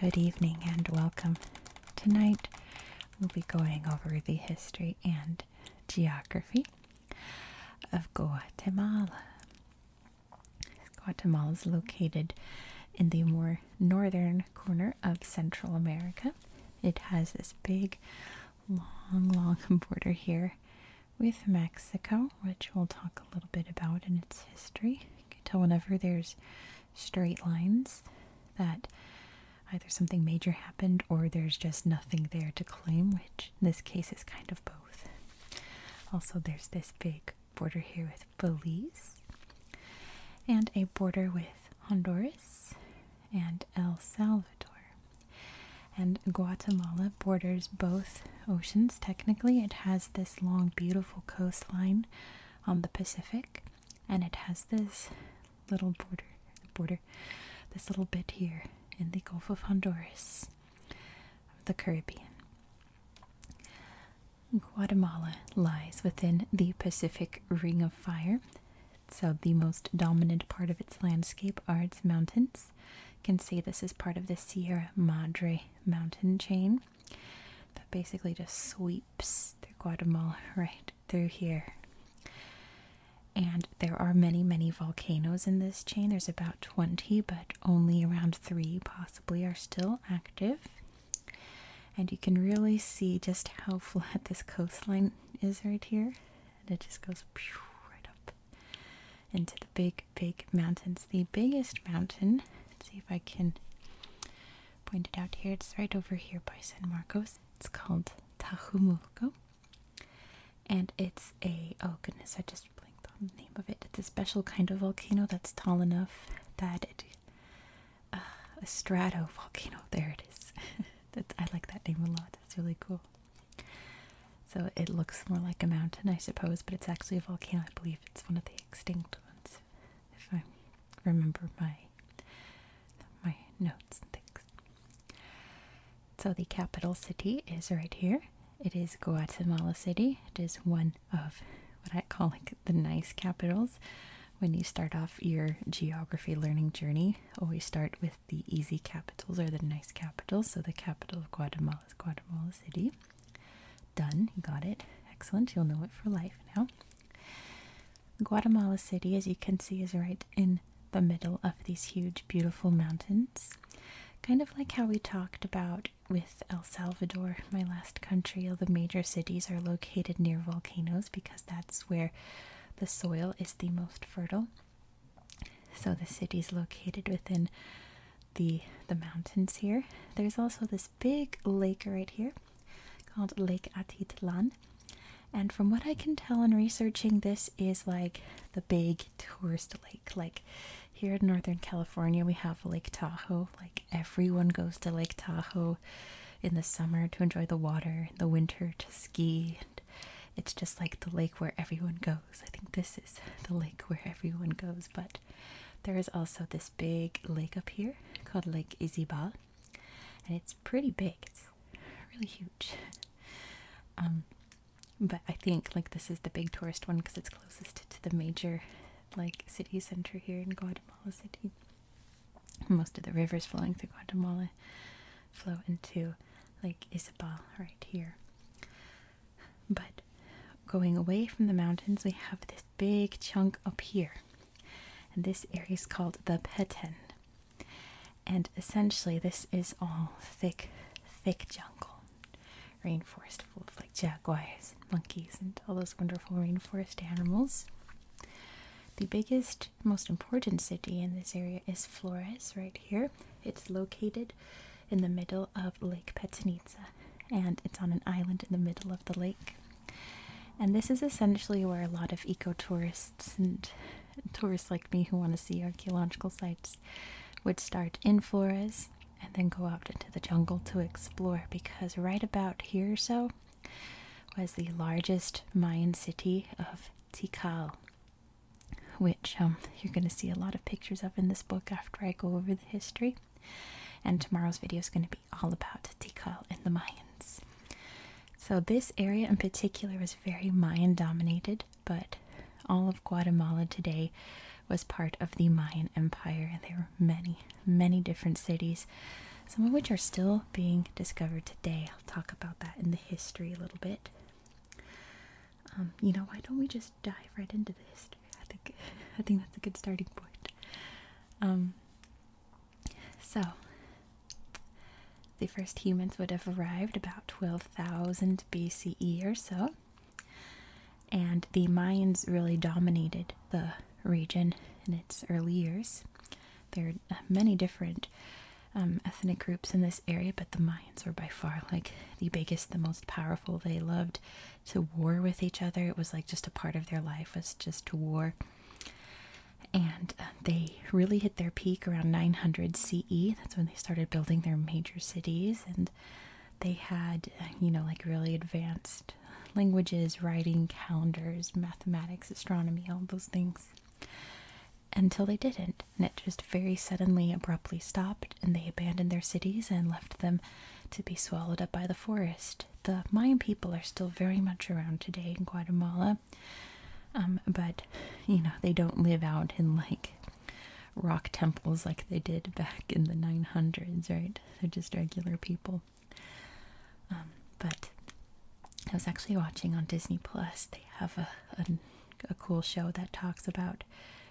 Good evening and welcome. Tonight we'll be going over the history and geography of Guatemala. Guatemala is located in the more northern corner of Central America. It has this big, long, long border here with Mexico, which we'll talk a little bit about in its history. You can tell whenever there's straight lines that either something major happened or there's just nothing there to claim, which in this case is kind of both. Also, there's this big border here with Belize and a border with Honduras and El Salvador. And Guatemala borders both oceans. Technically, it has this long, beautiful coastline on the Pacific, and it has this little border, border, this little bit here in the Gulf of Honduras, of the Caribbean. Guatemala lies within the Pacific Ring of Fire, so, uh, the most dominant part of its landscape are its mountains. You can see this is part of the Sierra Madre mountain chain that basically just sweeps through Guatemala right through here. And there are many, many volcanoes in this chain. There's about 20, but only around three possibly are still active. And you can really see just how flat this coastline is right here and it just goes right up into the big, big mountains. The biggest mountain, let's see if I can point it out here, it's right over here by San Marcos. It's called Tajumulco, and it's a oh goodness, I just blinked on the name of it. It's a special kind of volcano that's tall enough that it uh, a strato volcano. There it is. I like that name a lot. It's really cool. So it looks more like a mountain, I suppose, but it's actually a volcano. I believe it's one of the extinct ones, if I remember my my notes and things. So the capital city is right here. It is Guatemala City. It is one of what I call like the nice capitals. When you start off your geography learning journey, always start with the easy capitals are the nice capitals. So the capital of Guatemala is Guatemala City. Done, you got it. Excellent, you'll know it for life now. Guatemala City, as you can see, is right in the middle of these huge, beautiful mountains. Kind of like how we talked about with El Salvador, my last country, all the major cities are located near volcanoes because that's where the soil is the most fertile. So the city is located within the the mountains here. There's also this big lake right here called Lake Atitlan. And from what I can tell in researching, this is like the big tourist lake. Like here in Northern California, we have Lake Tahoe. Like everyone goes to Lake Tahoe in the summer to enjoy the water, in the winter to ski, it's just like the lake where everyone goes. I think this is the lake where everyone goes, but there is also this big lake up here called Lake Izibal, and it's pretty big. It's really huge. Um, but I think like this is the big tourist one because it's closest to the major like city center here in Guatemala City. Most of the rivers flowing through Guatemala flow into Lake Isabel right here. But going away from the mountains, we have this big chunk up here. And this area is called the Petén. And essentially, this is all thick, thick jungle, rainforest full of like jaguars, and monkeys, and all those wonderful rainforest animals. The biggest, most important city in this area is Flores, right here. It's located in the middle of Lake Petsenitsa, and it's on an island in the middle of the lake. And this is essentially where a lot of ecotourists and tourists like me who want to see archaeological sites would start in Flores and then go out into the jungle to explore because right about here or so was the largest Mayan city of Tikal which um, you're going to see a lot of pictures of in this book after I go over the history. And tomorrow's video is going to be all about Tikal and the Mayans. So, this area in particular was very Mayan dominated, but all of Guatemala today was part of the Mayan Empire. And there were many, many different cities, some of which are still being discovered today. I'll talk about that in the history a little bit. Um, you know, why don't we just dive right into the history? I think I think that's a good starting point. Um, so the first humans would have arrived about 12,000 BCE or so, and the Mayans really dominated the region in its early years. They're uh, many different um, ethnic groups in this area, but the Mayans were by far like the biggest, the most powerful. They loved to war with each other. It was like just a part of their life was just war. And uh, they really hit their peak around 900 CE. That's when they started building their major cities, and they had, uh, you know, like really advanced languages, writing, calendars, mathematics, astronomy, all those things until they didn't, and it just very suddenly, abruptly stopped, and they abandoned their cities and left them to be swallowed up by the forest. The Mayan people are still very much around today in Guatemala, um, but you know, they don't live out in like rock temples like they did back in the 900s, right? They're just regular people. Um, but I was actually watching on Disney Plus. They have a, a cool show that talks about,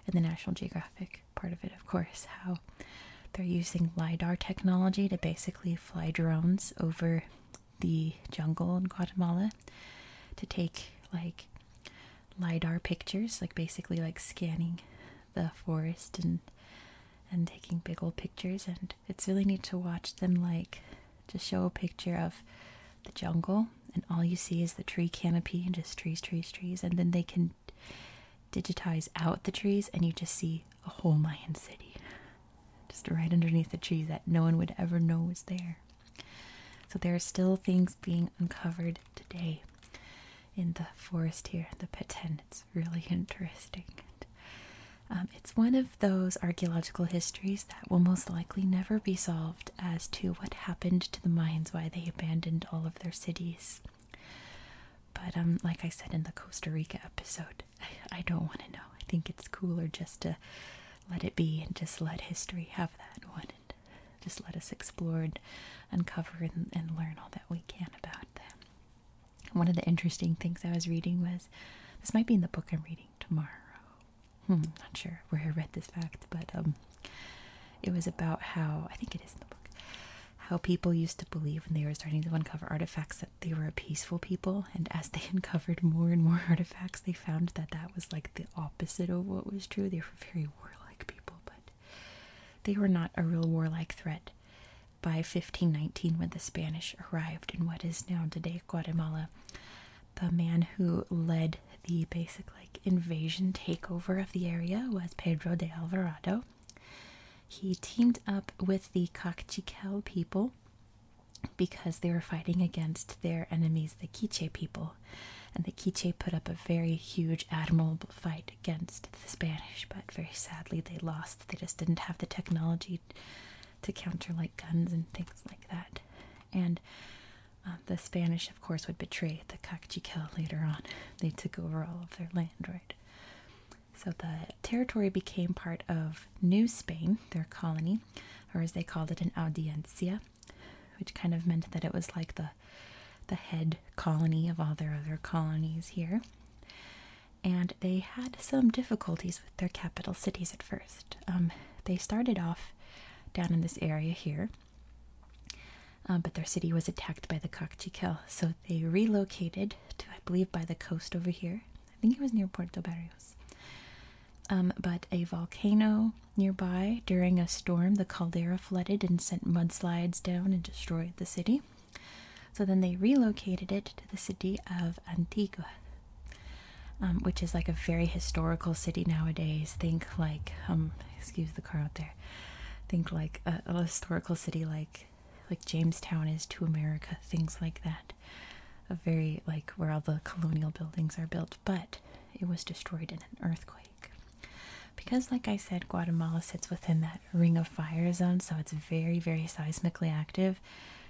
in the National Geographic part of it, of course, how they're using lidar technology to basically fly drones over the jungle in Guatemala to take like lidar pictures, like basically like scanning the forest and and taking big old pictures and it's really neat to watch them like just show a picture of the jungle, and all you see is the tree canopy and just trees, trees, trees. And then they can digitize out the trees, and you just see a whole Mayan city just right underneath the trees that no one would ever know was there. So there are still things being uncovered today in the forest here, the Peten. It's really interesting. Um, it's one of those archaeological histories that will most likely never be solved as to what happened to the mines, why they abandoned all of their cities. But um, like I said in the Costa Rica episode, I, don't want to know. I think it's cooler just to let it be and just let history have that one and just let us explore uncover and learn all that we can about them. One of the interesting things I was reading was this might be in the book I'm reading tomorrow, hmm, not sure where I read this fact, but um, it was about how I think it is in the book how people used to believe when they were starting to uncover artifacts that they were a peaceful people, and as they uncovered more and more artifacts, they found that that was like the opposite of what was true. They were very warlike people, but they were not a real warlike threat. By 1519, when the Spanish arrived in what is now today Guatemala, the man who led the basic like invasion takeover of the area was Pedro de Alvarado. He teamed up with the Cachiquel people because they were fighting against their enemies, the Quiche people. And the Quiche put up a very huge, admirable fight against the Spanish, but very sadly they lost. They just didn't have the technology to counter like guns and things like that and uh, the Spanish, of course, would betray the Cachiquel later on. They took over all of their land, right? So the territory became part of New Spain, their colony, or as they called it, an audiencia, which kind of meant that it was like the the head colony of all their other colonies here. And they had some difficulties with their capital cities at first. Um, they started off down in this area here. Uh, but their city was attacked by the Caciquel, so they relocated to, I believe, by the coast over here. I think it was near Puerto Barrios. Um, but a volcano nearby, during a storm, the caldera flooded and sent mudslides down and destroyed the city. So then they relocated it to the city of Antigua. Um, which is like a very historical city nowadays. Think like, um, excuse the car out there. Think like a historical city like like Jamestown is to America, things like that. A very like where all the colonial buildings are built, but it was destroyed in an earthquake. Because, like I said, Guatemala sits within that ring of fire zone, so it's very, very seismically active.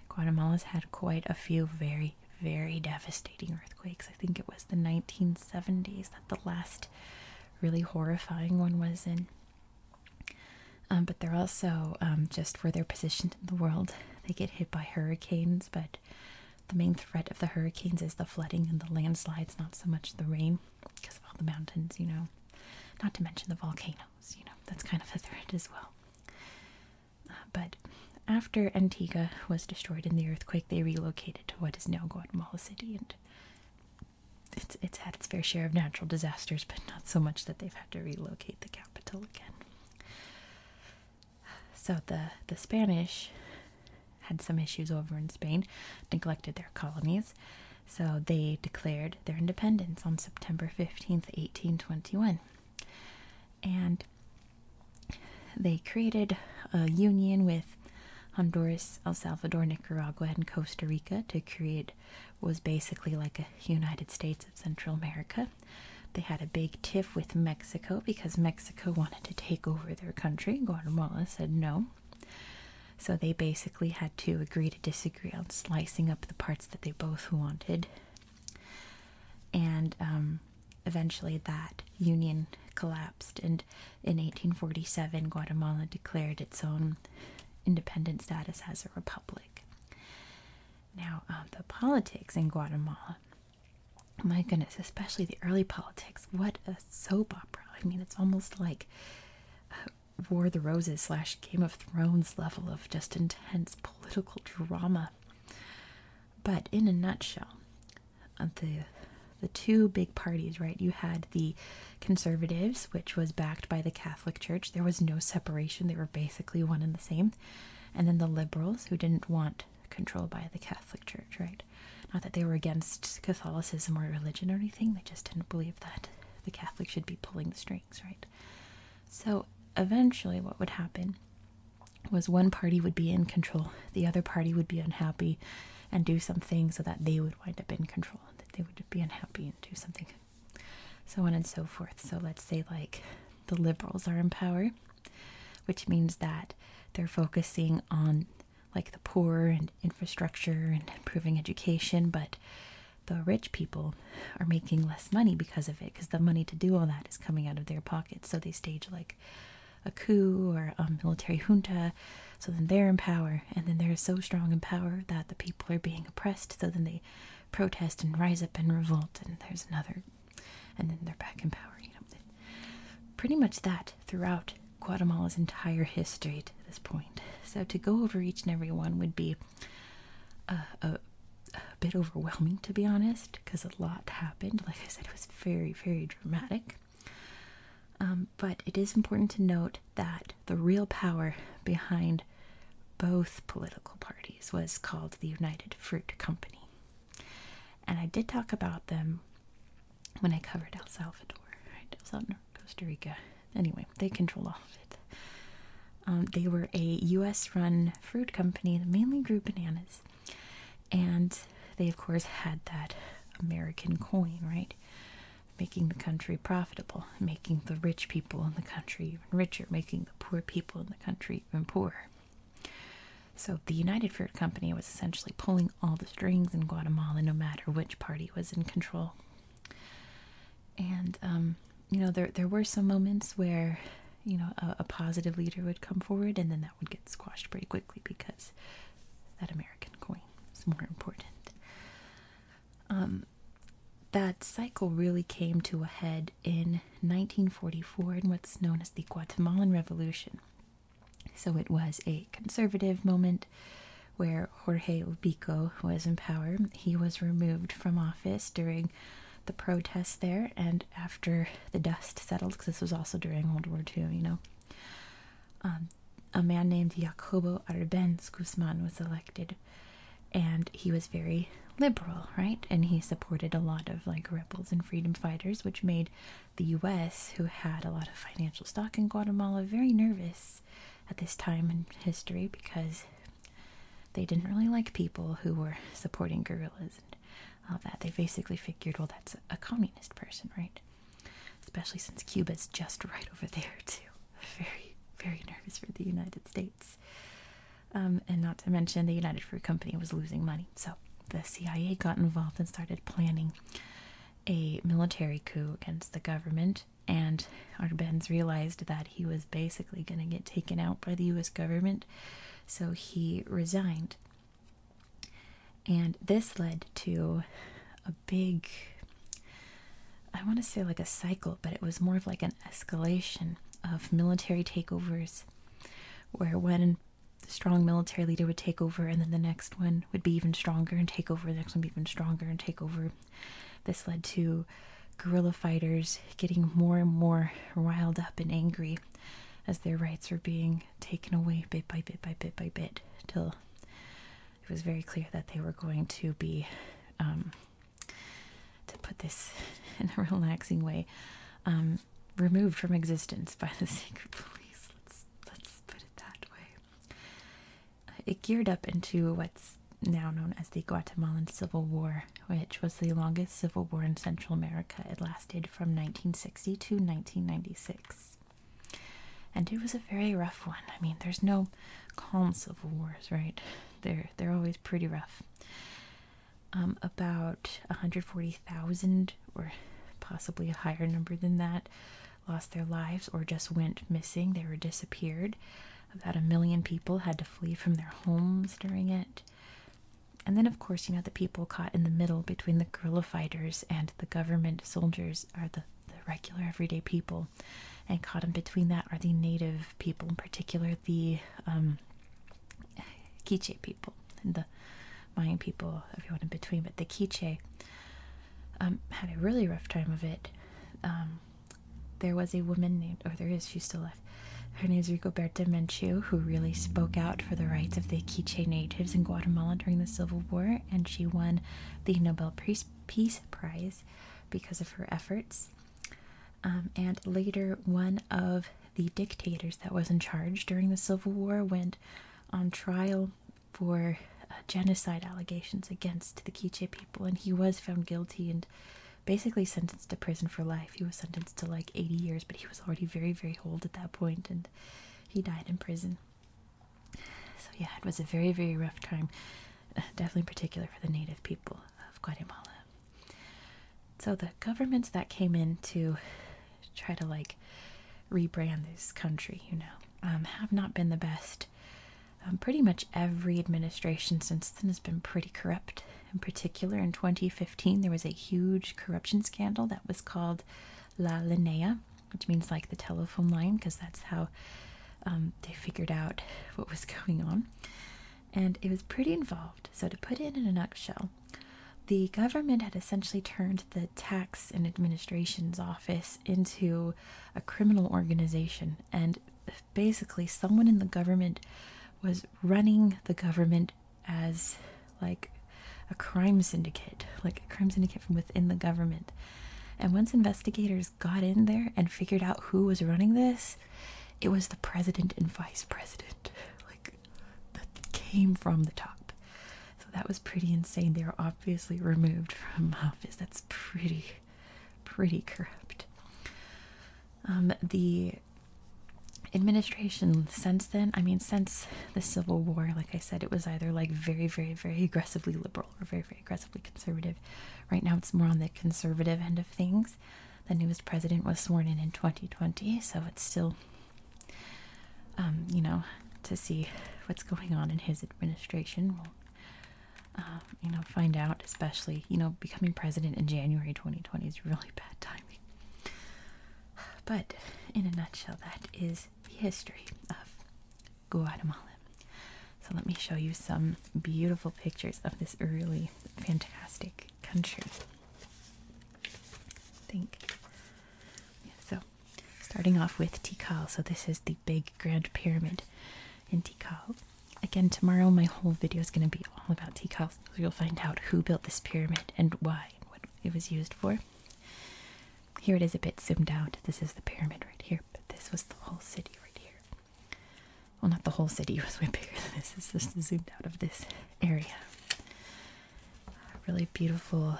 Guatemala's had quite a few very very, devastating earthquakes. I think it was the 1970s that the last really horrifying one was in. Um, but they're also um, just where they're positioned in the world. They get hit by hurricanes, but the main threat of the hurricanes is the flooding and the landslides, not so much the rain because of all the mountains, you know. Not to mention the volcanoes, you know, that's kind of a threat as well but after Antigua was destroyed in the earthquake, they relocated to what is now Guatemala City, and it's it's had its fair share of natural disasters, but not so much that they've had to relocate the capital again. So the the Spanish had some issues over in Spain, neglected their colonies, so they declared their independence on September 15th, 1821. And they created a union with Honduras, El Salvador, Nicaragua, and Costa Rica to create what was basically like a United States of Central America. They had a big tiff with Mexico because Mexico wanted to take over their country. Guatemala said no. So they basically had to agree to disagree on slicing up the parts that they both wanted. And um, eventually that union collapsed and in 1847 Guatemala declared its own independent status as a republic. Now um, the politics in Guatemala, my goodness, especially the early politics, what a soap opera. I mean it's almost like uh, War of the Roses slash Game of Thrones level of just intense political drama. But in a nutshell, the the two big parties, right? You had the conservatives, which was backed by the Catholic Church. There was no separation. They were basically one and the same. And then the liberals, who didn't want control by the Catholic Church, right? Not that they were against Catholicism or religion or anything. They just didn't believe that the Catholics should be pulling the strings, right? So eventually, what would happen was one party would be in control, the other party would be unhappy and do something so that they would wind up in control, that they would be unhappy and do something, so on and so forth. So let's say, like, the liberals are in power, which means that they're focusing on like the poor and infrastructure and improving education, but the rich people are making less money because of it because the money to do all that is coming out of their pockets. So they stage like a coup or a military junta, so then they're in power, and then they're so strong in power that the people are being oppressed, so then they protest and rise up and revolt, and there's another, and then they're back in power. You know, pretty much that throughout Guatemala's entire history to this point. So to go over each and every one would be uh, a bit overwhelming, to be honest, because a lot happened. Like I said, it was very, very dramatic. Um, but it is important to note that the real power behind both political parties was called the United Fruit Company. And I did talk about them when I covered El Salvador, right? El Salvador, Costa Rica. Anyway, they control all of it. Um, they were a U.S. run fruit company that mainly grew bananas. And they, of course, had that American coin, right? Making the country profitable, making the rich people in the country even richer, making the poor people in the country even poorer. So the United Fruit Company was essentially pulling all the strings in Guatemala, no matter which party was in control. And um, you know, there there were some moments where, you know, a, positive leader would come forward, and then that would get squashed pretty quickly because that American coin is more important. Um, that cycle really came to a head in 1944 in what's known as the Guatemalan Revolution. So it was a conservative moment where Jorge Ubico was in power. He was removed from office during the protests there, and after the dust settled because this was also during World War II, you know. Um, a man named Jacobo Arbenz Guzman was elected, and he was very liberal, right? And he supported a lot of like rebels and freedom fighters, which made the U.S., who had a lot of financial stock in Guatemala, very nervous at this time in history because they didn't really like people who were supporting guerrillas of that. They basically figured, well, that's a communist person, right? Especially since Cuba's just right over there, too. Very, very nervous for the United States. Um, and not to mention, the United Fruit Company was losing money. So the CIA got involved and started planning a military coup against the government. And Arbenz realized that he was basically going to get taken out by the US government, so he resigned. And this led to a big, I want to say like a cycle, but it was more of like an escalation of military takeovers, where one strong military leader would take over, and then the next one would be even stronger and take over, the next one would be even stronger and take over. This led to guerrilla fighters getting more and more riled up and angry as their rights were being taken away bit by bit by bit by bit till it was very clear that they were going to be um, to put this in a relaxing way um, removed from existence by the secret police let's let's put it that way uh, it geared up into what's now known as the Guatemalan Civil War, which was the longest civil war in Central America. It lasted from 1960 to 1996. And it was a very rough one. I mean, there's no calm civil wars, right? They're they're always pretty rough. Um, about 140,000, or possibly a higher number than that, lost their lives or just went missing. They were disappeared. About a million people had to flee from their homes during it. And then, of course, you know, the people caught in the middle between the guerrilla fighters and the government soldiers are the, regular everyday people. And caught in between that are the native people, in particular the um, Quiche people and the Mayan people, everyone in between. But the Quiche um, had a really rough time of it. Um, there was a woman named, or there is, she's still alive. Her name is Rigoberta Menchu, who really spoke out for the rights of the the Quiche natives in Guatemala during the Civil War, and she won the Nobel Peace Prize because of her efforts. Um, and later, one of the dictators that was in charge during the Civil War went on trial for uh, genocide allegations against the Quiche people, and he was found guilty and basically sentenced to prison for life. He was sentenced to like 80 years, but he was already very, very old at that point, and he died in prison. So yeah, it was a very, very rough time, uh, definitely in particular for the native people of Guatemala. So the governments that came in to try to like rebrand this country, you know, um, have not been the best. Um, pretty much every administration since then has been pretty corrupt. In particular, in 2015, there was a huge corruption scandal that was called La línea, which means like the telephone line, because that's how um, they figured out what was going on. And it was pretty involved. So, to put it in a nutshell, the government had essentially turned the tax and administration's office into a criminal organization. And basically, someone in the government was running the government as like a crime syndicate, like a crime syndicate from within the government. And once investigators got in there and figured out who was running this, it was the president and vice president. Like, that came from the top. So that was pretty insane. They were obviously removed from office. That's pretty, pretty corrupt. Um, the administration since then, I mean, since the Civil War, like I said, it was either like very, very, very aggressively liberal or very, very aggressively conservative. Right now, it's more on the conservative end of things. The newest president was sworn in in 2020, so it's still, um, you know, to see what's going on in his administration. will um, you know, find out, especially, you know, becoming president in January 2020 is really bad timing. But in a nutshell, that is the history of Guatemala. So let me show you some beautiful pictures of this really fantastic country. think. so starting off with Tikal. So this is the big grand pyramid in Tikal. Again, tomorrow my whole video is going to be all about Tikal. So you'll find out who built this pyramid and why and what it was used for. Here it is a bit zoomed out. This is the pyramid right here, but this was the whole city right here. Well, not the whole city, it was way bigger than this. It's just zoomed out of this area. really beautiful,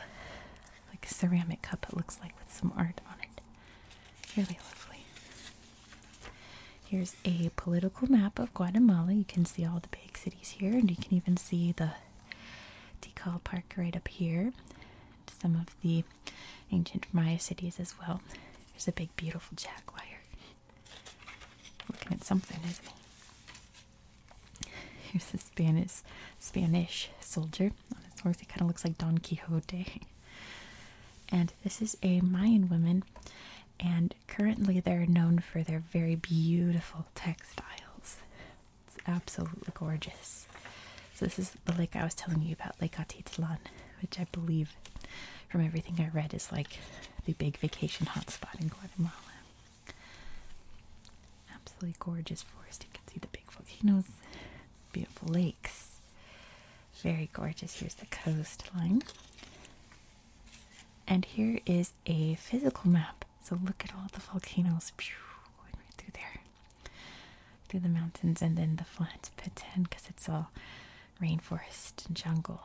like ceramic cup, it looks like, with some art on it. Really lovely. Here's a political map of Guatemala. You can see all the big cities here, and you can even see the Decal Park right up here. some of the ancient Maya cities as well. There's a big, beautiful jaguar looking at something, isn't he? Here's a Spanish Spanish soldier on his horse. He kind of looks like Don Quixote. And this is a Mayan woman, and currently they're known for their very beautiful textiles. It's absolutely gorgeous. So this is the lake I was telling you about, Lake Atitlan, which I believe from everything I read is like the big vacation hotspot in Guatemala. Absolutely gorgeous forest. You can see the big volcanoes, beautiful lakes. Very gorgeous. Here's the coastline. And here is a physical map. So look at all the volcanoes right through there, through the mountains, and then the flat Peten because it's all rainforest and jungle.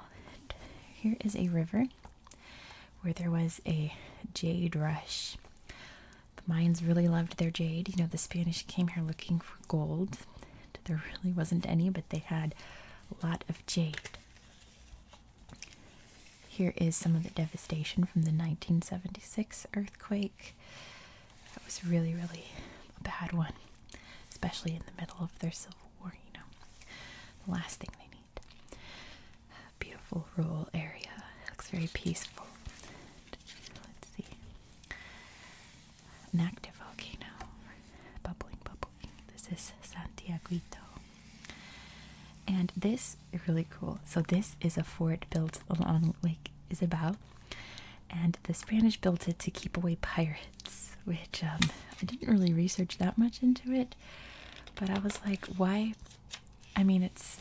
here is a river where there was a jade rush. The Mayans really loved their jade. You know, the Spanish came here looking for gold. There really wasn't any, but they had a lot of jade. Here is some of the devastation from the 1976 earthquake. That was really, really a bad one, especially in the middle of their civil war, you know. The last thing they need. Beautiful rural area. Looks very peaceful. Let's see. An active volcano. Bubbling, bubbling. This is Santiaguito. And this is really cool. So this is a fort built along Lake Isabel, and the Spanish built it to keep away pirates. Which um, I didn't really research that much into it, but I was like, why? I mean, it's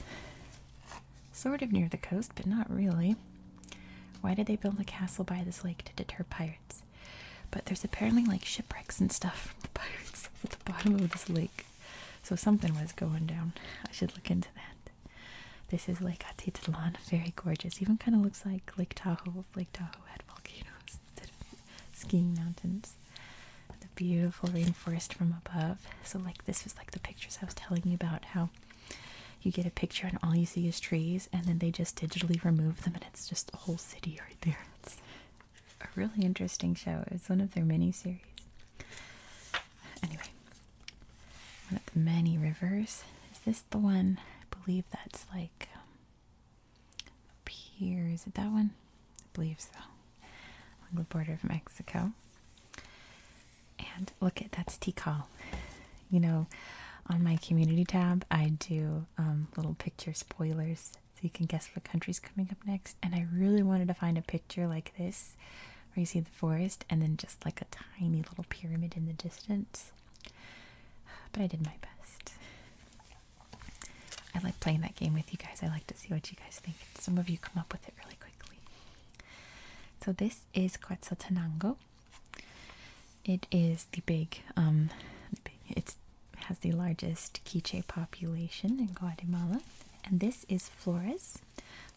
sort of near the coast, but not really. Why did they build a castle by this lake to deter pirates? But there's apparently like shipwrecks and stuff from the pirates at the bottom of this lake. So something was going down. I should look into that. This is Lake Atitlan, very gorgeous. Even kind of looks like Lake Tahoe. Lake Tahoe had volcanoes instead of skiing mountains. The beautiful rainforest from above. So like this was like the pictures I was telling you about how you get a picture and all you see is trees and then they just digitally remove them and it's just a whole city right there a really interesting show. It was one of their mini series. Anyway, one of the many rivers. Is this the one? I believe that's like um, here. Is it that one? I believe so. On the border of Mexico. And look at that's Tikal. You know, on my community tab, I do um, little picture spoilers so you can guess what country's coming up next. And I really wanted to find a picture picture like this, where you see the forest and then just like a tiny little pyramid in the distance. But I did my best. I like playing that game with you guys. I like to see what you guys think. Some of you come up with it really quickly. So this is Quetzaltenango. It is the big, um, It has the largest quiche population in Guatemala. And this is Flores.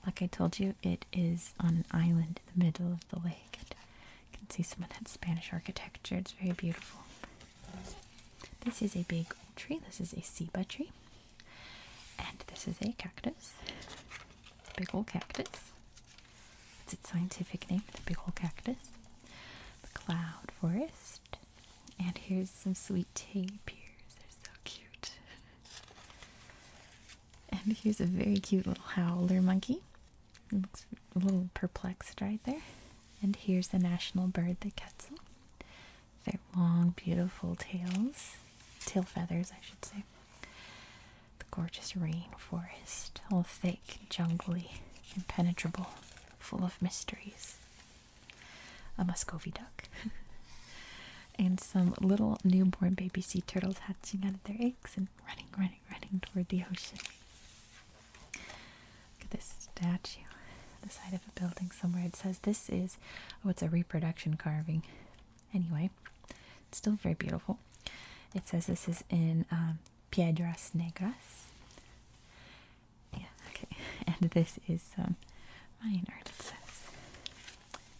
Like I told you, it is on an island in the middle of the lake. you can see some of that Spanish architecture. It's very beautiful. This is a big tree. This is a ceiba tree. And this is a cactus. Big old cactus. What's its scientific name, the big old cactus. The cloud forest. And here's some sweet tea They're so cute. and here's a very cute little howler monkey. It looks a little perplexed right there. And here's the national bird, the quetzal. Their long, beautiful tails, tail feathers, I should say. The gorgeous rainforest, all thick, jungly, impenetrable, full of mysteries a Muscovy duck, and some little newborn baby sea turtles hatching out of their eggs and running, running, running toward the ocean. Look at this statue on the side of a building somewhere. It says this is, oh, it's a reproduction carving. Anyway, it's still very beautiful. It says this is in um, Piedras Negras. Yeah, okay. And this is um, Mayan art, it says.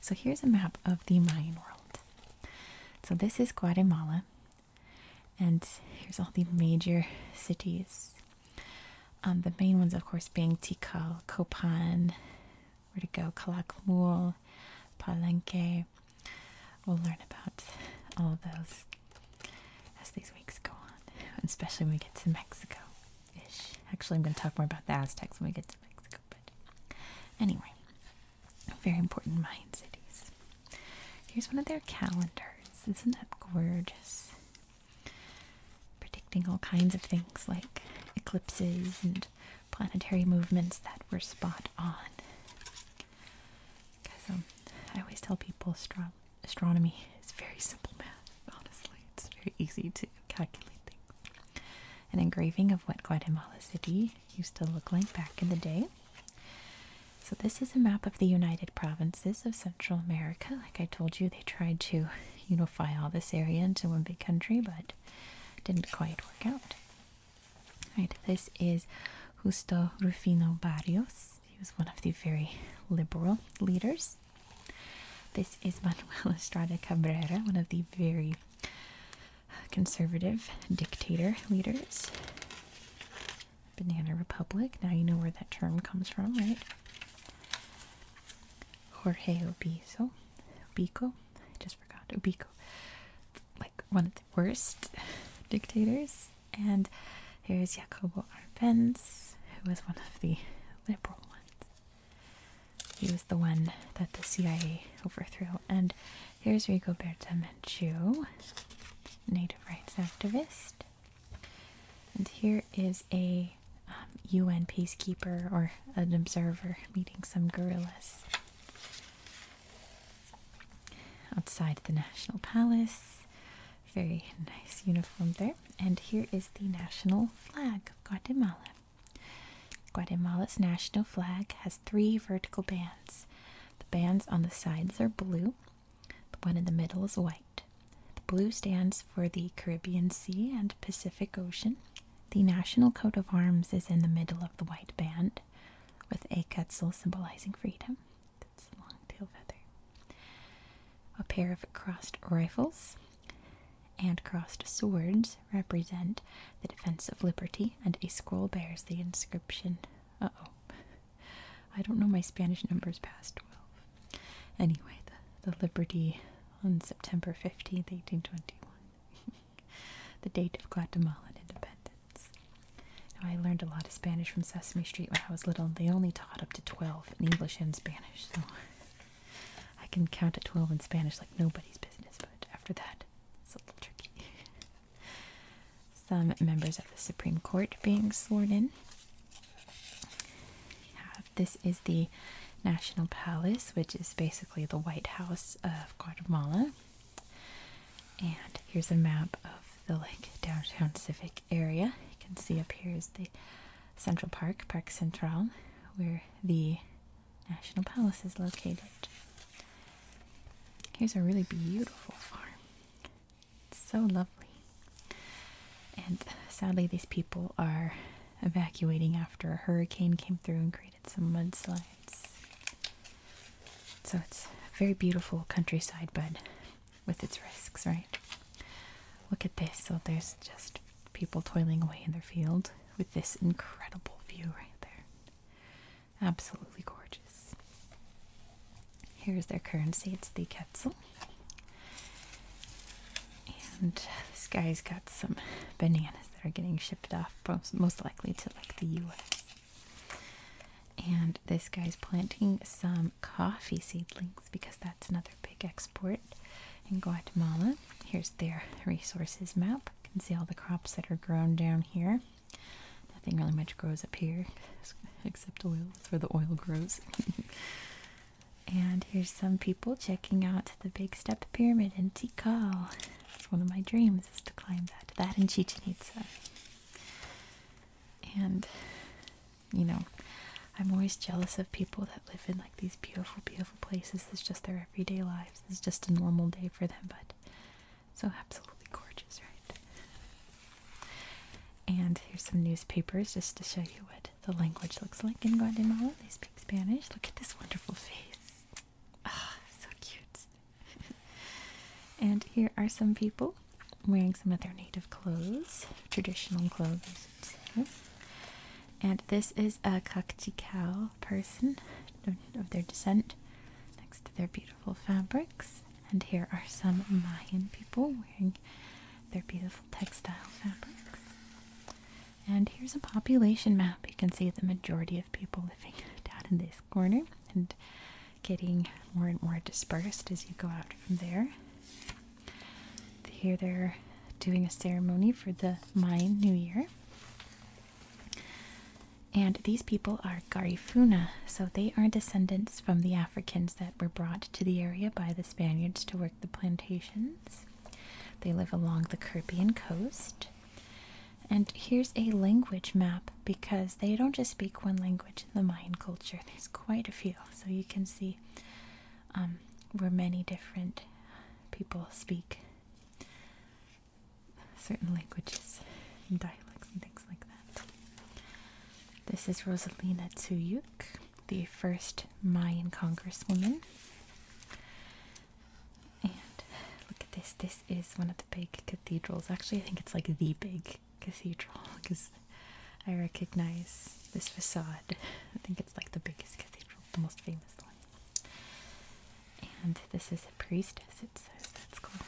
So here's a map of the Mayan world. So this is Guatemala, and here's all the major cities. Um, the main ones, of course, being Tikal, Copan, where to go, Calakmul, Palenque. We'll learn about all those as these weeks go on, especially when we get to Mexico. Actually, I'm going to talk more about the Aztecs when we get to Mexico. But anyway, very important Mayan cities. Here's one of their calendars. Isn't that gorgeous? Predicting all kinds of things like eclipses and planetary movements that were spot on. Because um, I always tell people astronomy is very simple math. Honestly, it's very easy to an engraving of what Guatemala City used to look like back in the day. So, this is a map of the United Provinces of Central America. Like I told you, they tried to unify all this area into one big country, but didn't quite work out. Right, this is Justo Rufino Barrios. He was one of the very liberal leaders this is Manuel Estrada Cabrera, one of the very conservative dictator leaders. Banana Republic. Now you know where that term comes from, right? Jorge Obiso. Ubico. I just forgot. Ubico. Like one of the worst dictators. And here's Jacobo Arbenz, who was one of the liberal ones. He was the one that the CIA overthrew. And here's Rigoberta Menchu, native rights activist. And here is a UN um, peacekeeper or an observer meeting some guerrillas outside the National Palace. Very nice uniform there. And here is the national flag of Guatemala. Guatemala's national flag has three vertical bands. The bands on the sides are blue, the one in the middle is white. The blue stands for the Caribbean Sea and Pacific Ocean. The national coat of arms is in the middle of the white band, with a quetzal symbolizing freedom. That's a long tail feather. A pair of crossed rifles and crossed swords represent the defense of liberty, and a scroll bears the inscription. oh. I don't know my Spanish numbers past 12. Anyway, the, the Liberty on September 15th, 1821. the date of Guatemalan independence. I learned a lot of Spanish from Sesame Street when I was little, and they only taught up to 12 in English and Spanish, so I can count at 12 in Spanish like nobody's business, but after that, it's a little tricky. Some members of the Supreme Court being sworn in. this is the National Palace, which is basically the White House of Guatemala. And here's a map of the like downtown civic area. You can see up here is the Central Park, Park Central, where the National Palace is located. Here's a really beautiful farm. It's so lovely. And sadly, these people are evacuating after a hurricane came through and created some mudslides. So it's very beautiful countryside, but with its risks, right? Look at this. So there's just people toiling away in their field with this incredible view right there. Absolutely gorgeous. Here's their currency, it's the Quetzal. And this guy's got some bananas that are getting shipped off, most likely to like the US. And this guy's planting some coffee seedlings because that's another big export in Guatemala. Here's their resources map. You can see all the crops that are grown down here. Nothing really much grows up here except oil. That's where the oil grows. and here's some people checking out the big step pyramid in Tikal. It's one of my dreams is to climb that. That in Chichen Itza. And you know, I'm always jealous of people that live in like these beautiful, beautiful Places place. is just their everyday lives. It's just a normal day for them, but so absolutely gorgeous, right? And here's some newspapers just to show you what the language looks like in Guatemala. They speak Spanish. Look at this wonderful face. Ah, so cute. and here are some people wearing some of their native clothes, traditional clothes and this is a Kakchikau person of, of their descent next to their beautiful fabrics. And here are some Mayan people wearing their beautiful textile fabrics. And here's a population map. You can see the majority of people living down in this corner and getting more and more dispersed as you go out from there. Here they're doing a ceremony for the Mayan New Year. And these people are Garifuna, so they are descendants from the Africans that were brought to the area by the Spaniards to work the plantations. They live along the Caribbean coast. And here's a language map because they don't just speak one language in the Mayan culture, there's quite a few. So you can see um, where many different people speak certain languages and dialects and things like that. This is Rosalina Tsuyuk, the first Mayan congresswoman. And look at this. This is one of the big cathedrals. Actually, I think it's like the big cathedral because I recognize this facade. I think it's like the biggest cathedral, the most famous one. And this is a priestess, it says. That's cool.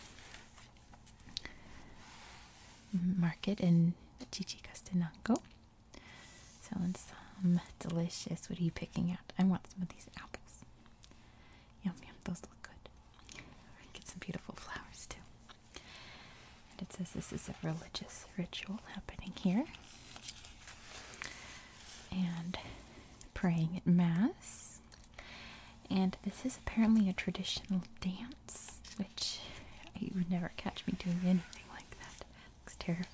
Market in Chichicastenango. Selling some um, delicious. What are you picking out? I want some of these apples. Yum, yum. Those look good. Get some beautiful flowers too. And it says this is a religious ritual happening here and praying at Mass. And this is apparently a traditional dance, which you would never catch me doing anything like that. Looks terrifying.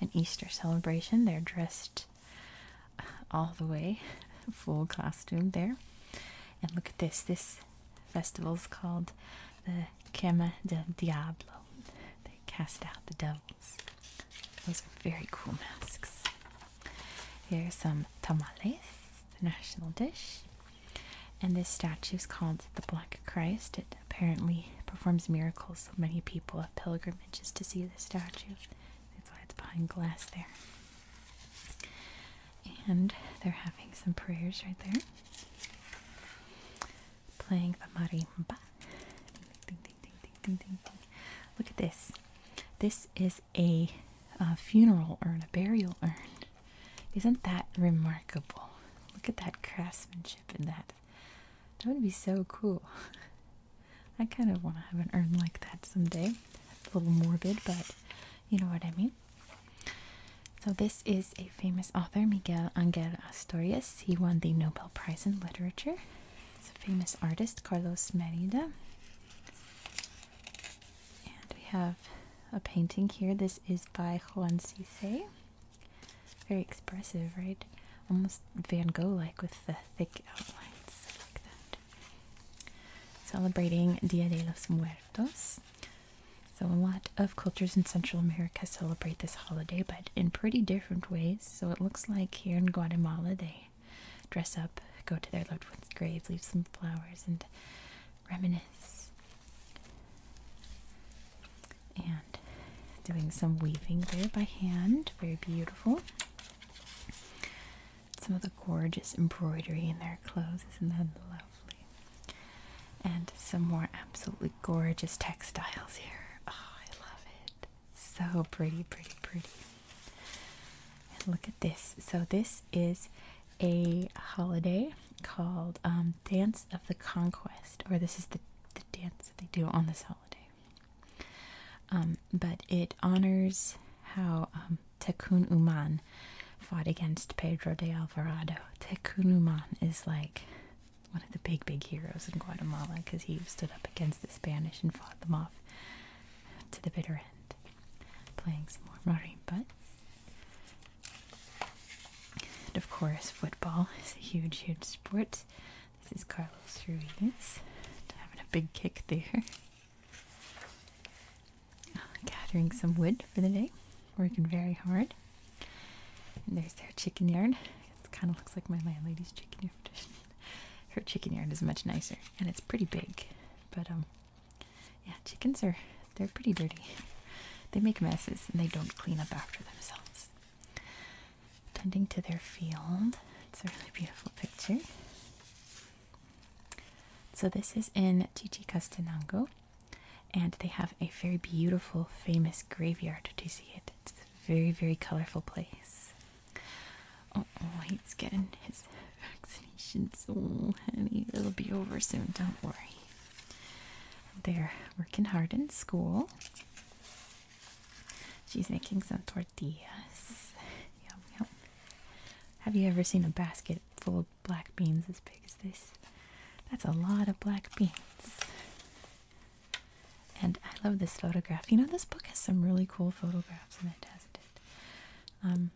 An Easter celebration. They're dressed uh, all the way, full costume there. And look at this. This festival is called the Quema del Diablo. They cast out the devil. Those are very cool masks. Here are some tamales, the national dish. And this statue is called the Black Christ. It apparently performs miracles, so many people have pilgrimages to see the statue. That's why it's behind glass there. And they're having some prayers right there. Playing the marimba. Look at this. This is a, a funeral urn, a burial urn. Isn't that remarkable? Look at that craftsmanship in that. That would be so cool. I kind of want to have an urn like that someday. It's a little morbid, but you know what I mean. So this is a famous author, Miguel Angel Asturias. He won the Nobel Prize in Literature it's a famous artist, Carlos Merida. And we have a painting here. This is by Juan Cisse. Very expressive, right? Almost Van Gogh like with the thick outlines like that. Celebrating Dia de los Muertos. So, a lot of cultures in Central America celebrate this holiday, but in pretty different ways. So it looks like here in Guatemala they dress up, go to their loved one's grave, leave some flowers, and reminisce. And doing some weaving there by hand, very beautiful. Some of the gorgeous embroidery in their clothes, isn't that lovely? And some more absolutely gorgeous textiles here. Oh, I love it. So pretty, pretty, pretty. look at this. So this is a holiday called um, Dance of the Conquest, or this is the, dance that they do on this holiday. Um, but it honors how um, Tecun Uman fought against Pedro de Alvarado. Tecun Uman is like one of the big, big heroes in Guatemala because he stood up against the Spanish and fought them off to the bitter end. Playing some more marimbas. And of course, football is a huge, huge sport. This is Carlos Ruiz having a big kick there. Gathering some wood for the day, working very hard. there's their chicken yard. It kind of looks like my landlady's chicken yard Her chicken yard is much nicer, and it's pretty big. But um, yeah, chickens are they're pretty dirty. They make messes, and they don't clean up after themselves. Tending to their field. It's a really beautiful picture. So this is in Chichicastenango, and they have a very beautiful, famous graveyard to see it very, very colorful place. Oh, oh, he's getting his vaccinations. honey, it'll be over soon. Don't worry. They're working hard in school. She's making some tortillas. Yum, yum. Have you ever seen a basket full of black beans as big as this? That's a lot of black beans. And I love this photograph. You know, this book has some really cool photographs in it, hasn't it? Um,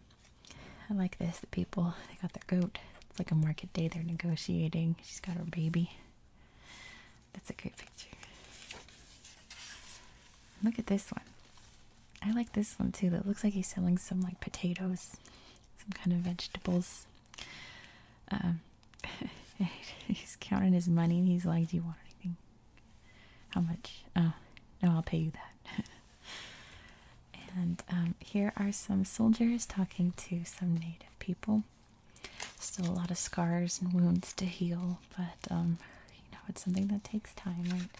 I like this. The people, they got their goat. It's like a market day. They're negotiating. She's got her baby. That's a great picture. Look at this one. I like this one too. That looks like he's selling some like potatoes, some kind of vegetables. Um, he's counting his money he's like, Do you want anything? How much? Oh, no, I'll pay you that. and um, here are some soldiers talking to some native people. Still a lot of scars and wounds to heal, but um, you know, it's something that takes time, right?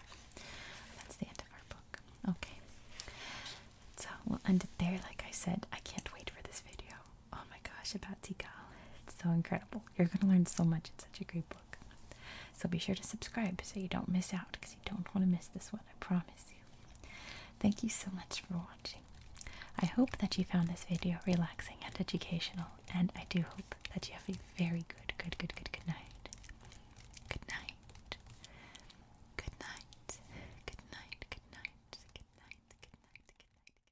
That's the end of our book. Okay. So we'll end it there. Like I said, I can't wait for this video oh my gosh about Tikal. It's so incredible. You're going to learn so much. It's such a great book. So be sure to subscribe so you don't miss out because you don't want to miss this one. I promise you. Thank you so much for watching. I hope that you found this video relaxing and educational, and I do hope that you have a very good, good, good, good, good night. Good night. Good night. Good night. Good night. Good night. Good night. Good night. Good night.